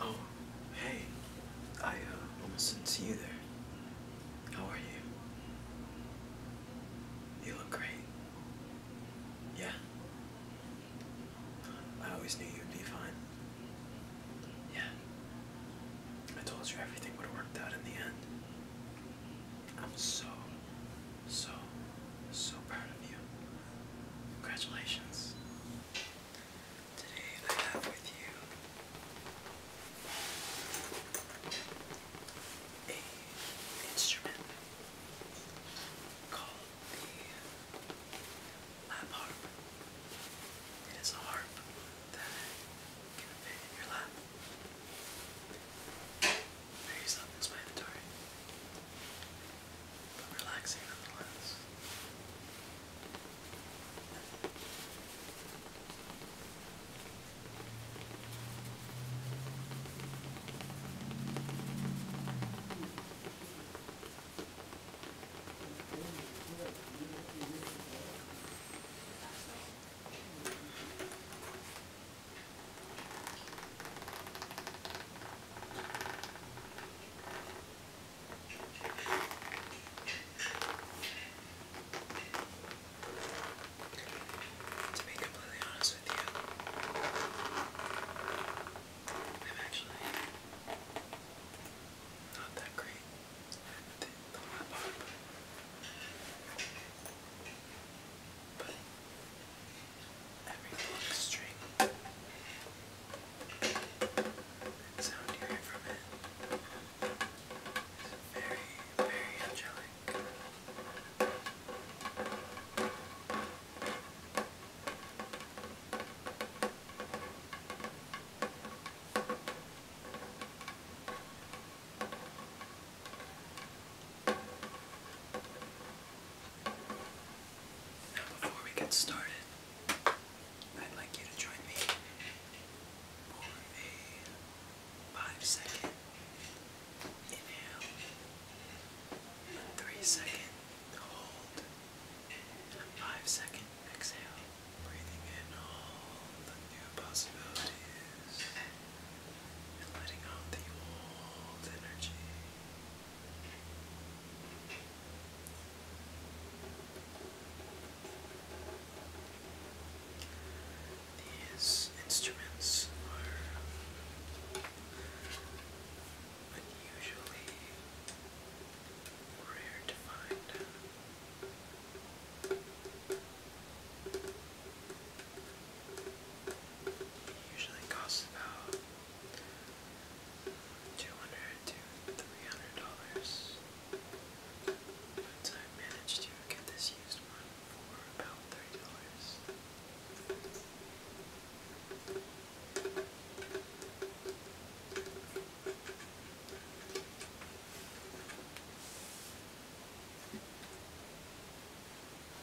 Oh, hey. I uh, almost didn't see you there. How are you? You look great. Yeah? I always knew you'd be fine. Yeah. I told you everything would work out in the end. I'm so, so, so proud of you. Congratulations. Today I have with you a instrument called the lap harp. It is a harp that can fit in your lap. Very self-explanatory but relaxing nonetheless. To be completely honest with you, I'm actually not that great but every book string sound you hear from it is very, very angelic. It now, before we get started, I'd like you to join me for a five second inhale, three second hold, and five second exhale. Breathing in all the new possibilities and letting out the old energy. These instruments are unusually rare to find. It usually costs about two hundred to three hundred dollars. But I managed to get this used one for about thirty dollars.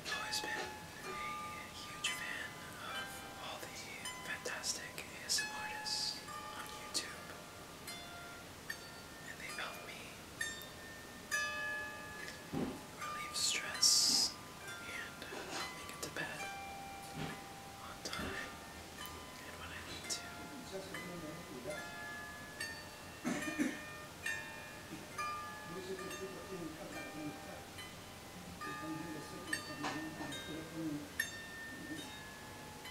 I've always been a huge fan of all the fantastic ASM artists on YouTube and they've helped me relieve stress and help me get to bed on time and when I need to.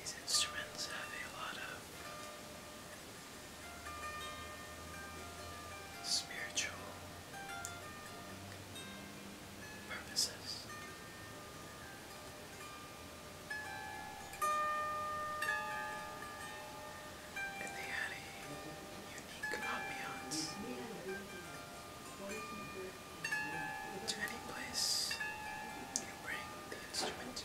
These instruments have a lot of spiritual purposes. And they had a unique ambiance to any place you bring the instrument to.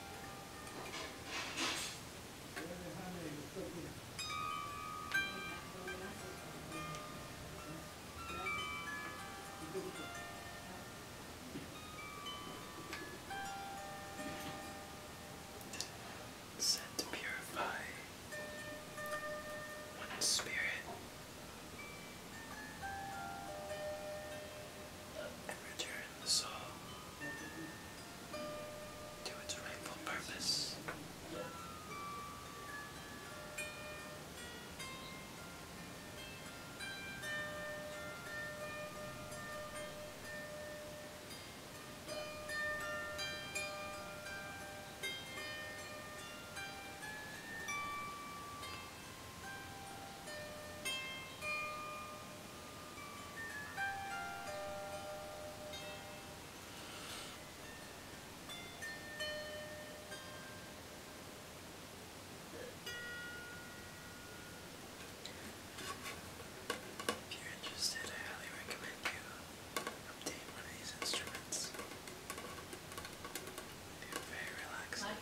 Set to purify one's spirit and return the soul to its rightful purpose. If you're interested, I highly recommend you obtain one of these instruments. They're very relaxing. Like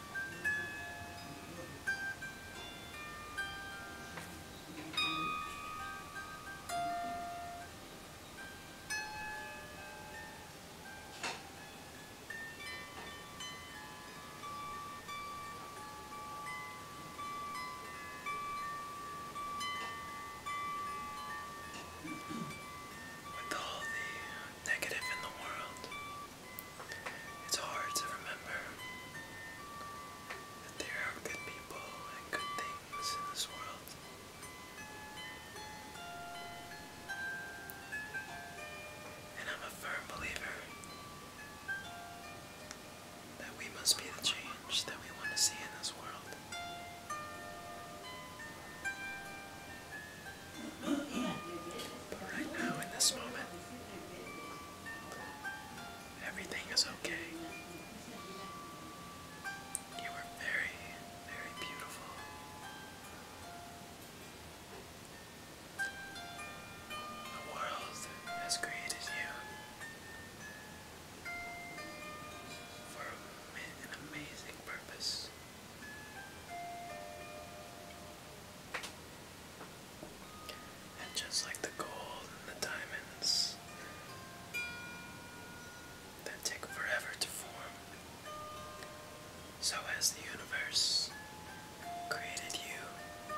With all the negative in the world, it's hard to remember that there are good people and good things in this world. And I'm a firm believer that we must be the change that we want to see in this world. But right now, in this moment, Everything is okay. You are very, very beautiful. The world has created you for an amazing purpose. And just like the gold and the diamonds that take forever to form, so has the universe created you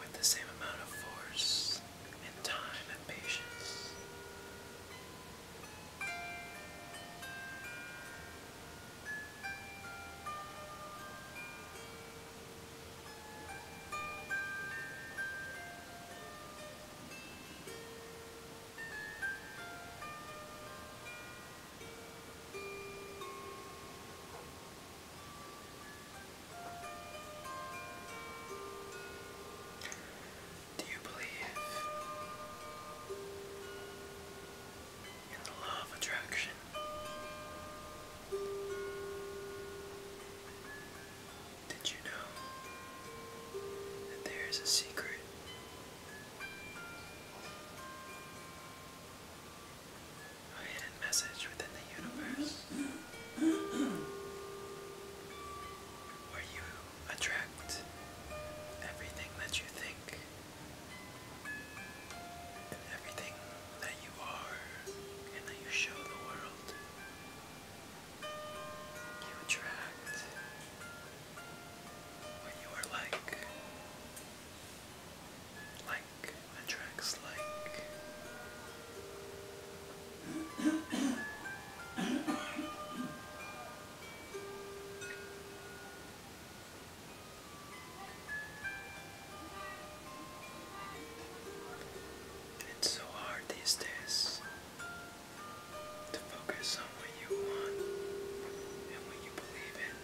with the same amount of force and time and patience. Do you believe in the law of attraction. Did you know that there is a secret a hidden message within the universe where you attract everything that you think and everything that you are and that you show the world. You attract what you are like. Like attracts like. It's so hard these days to focus on what you want and what you believe in.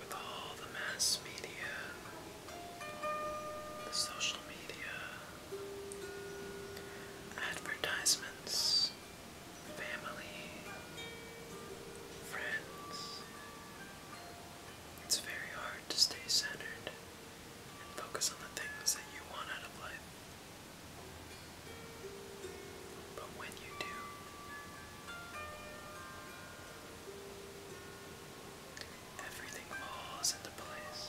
With all the mass media, the social media, Advertisements, family, friends. It's very hard to stay centered and focus on the things that you want out of life. But when you do, everything falls into place.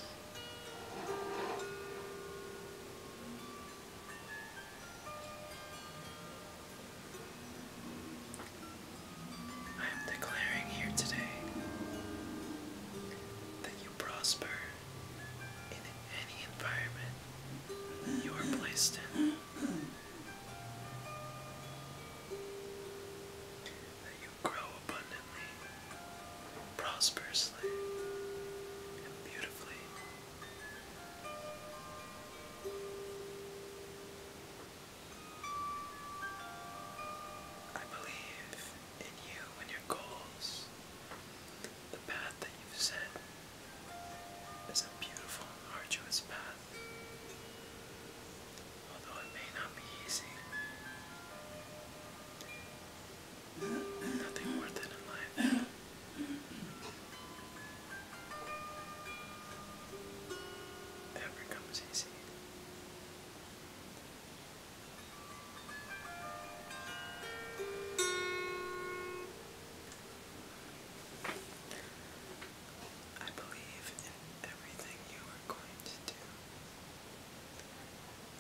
I am declaring here today that you prosper in any environment you are placed in grow abundantly, prosperously, and beautifully. I believe in you and your goals. The path that you've set is a beautiful arduous path although it may not be easy. Nothing worth it in life. Ever comes easy. I believe in everything you are going to do.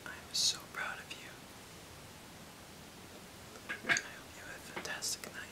I am so proud of you. I hope you have a fantastic night.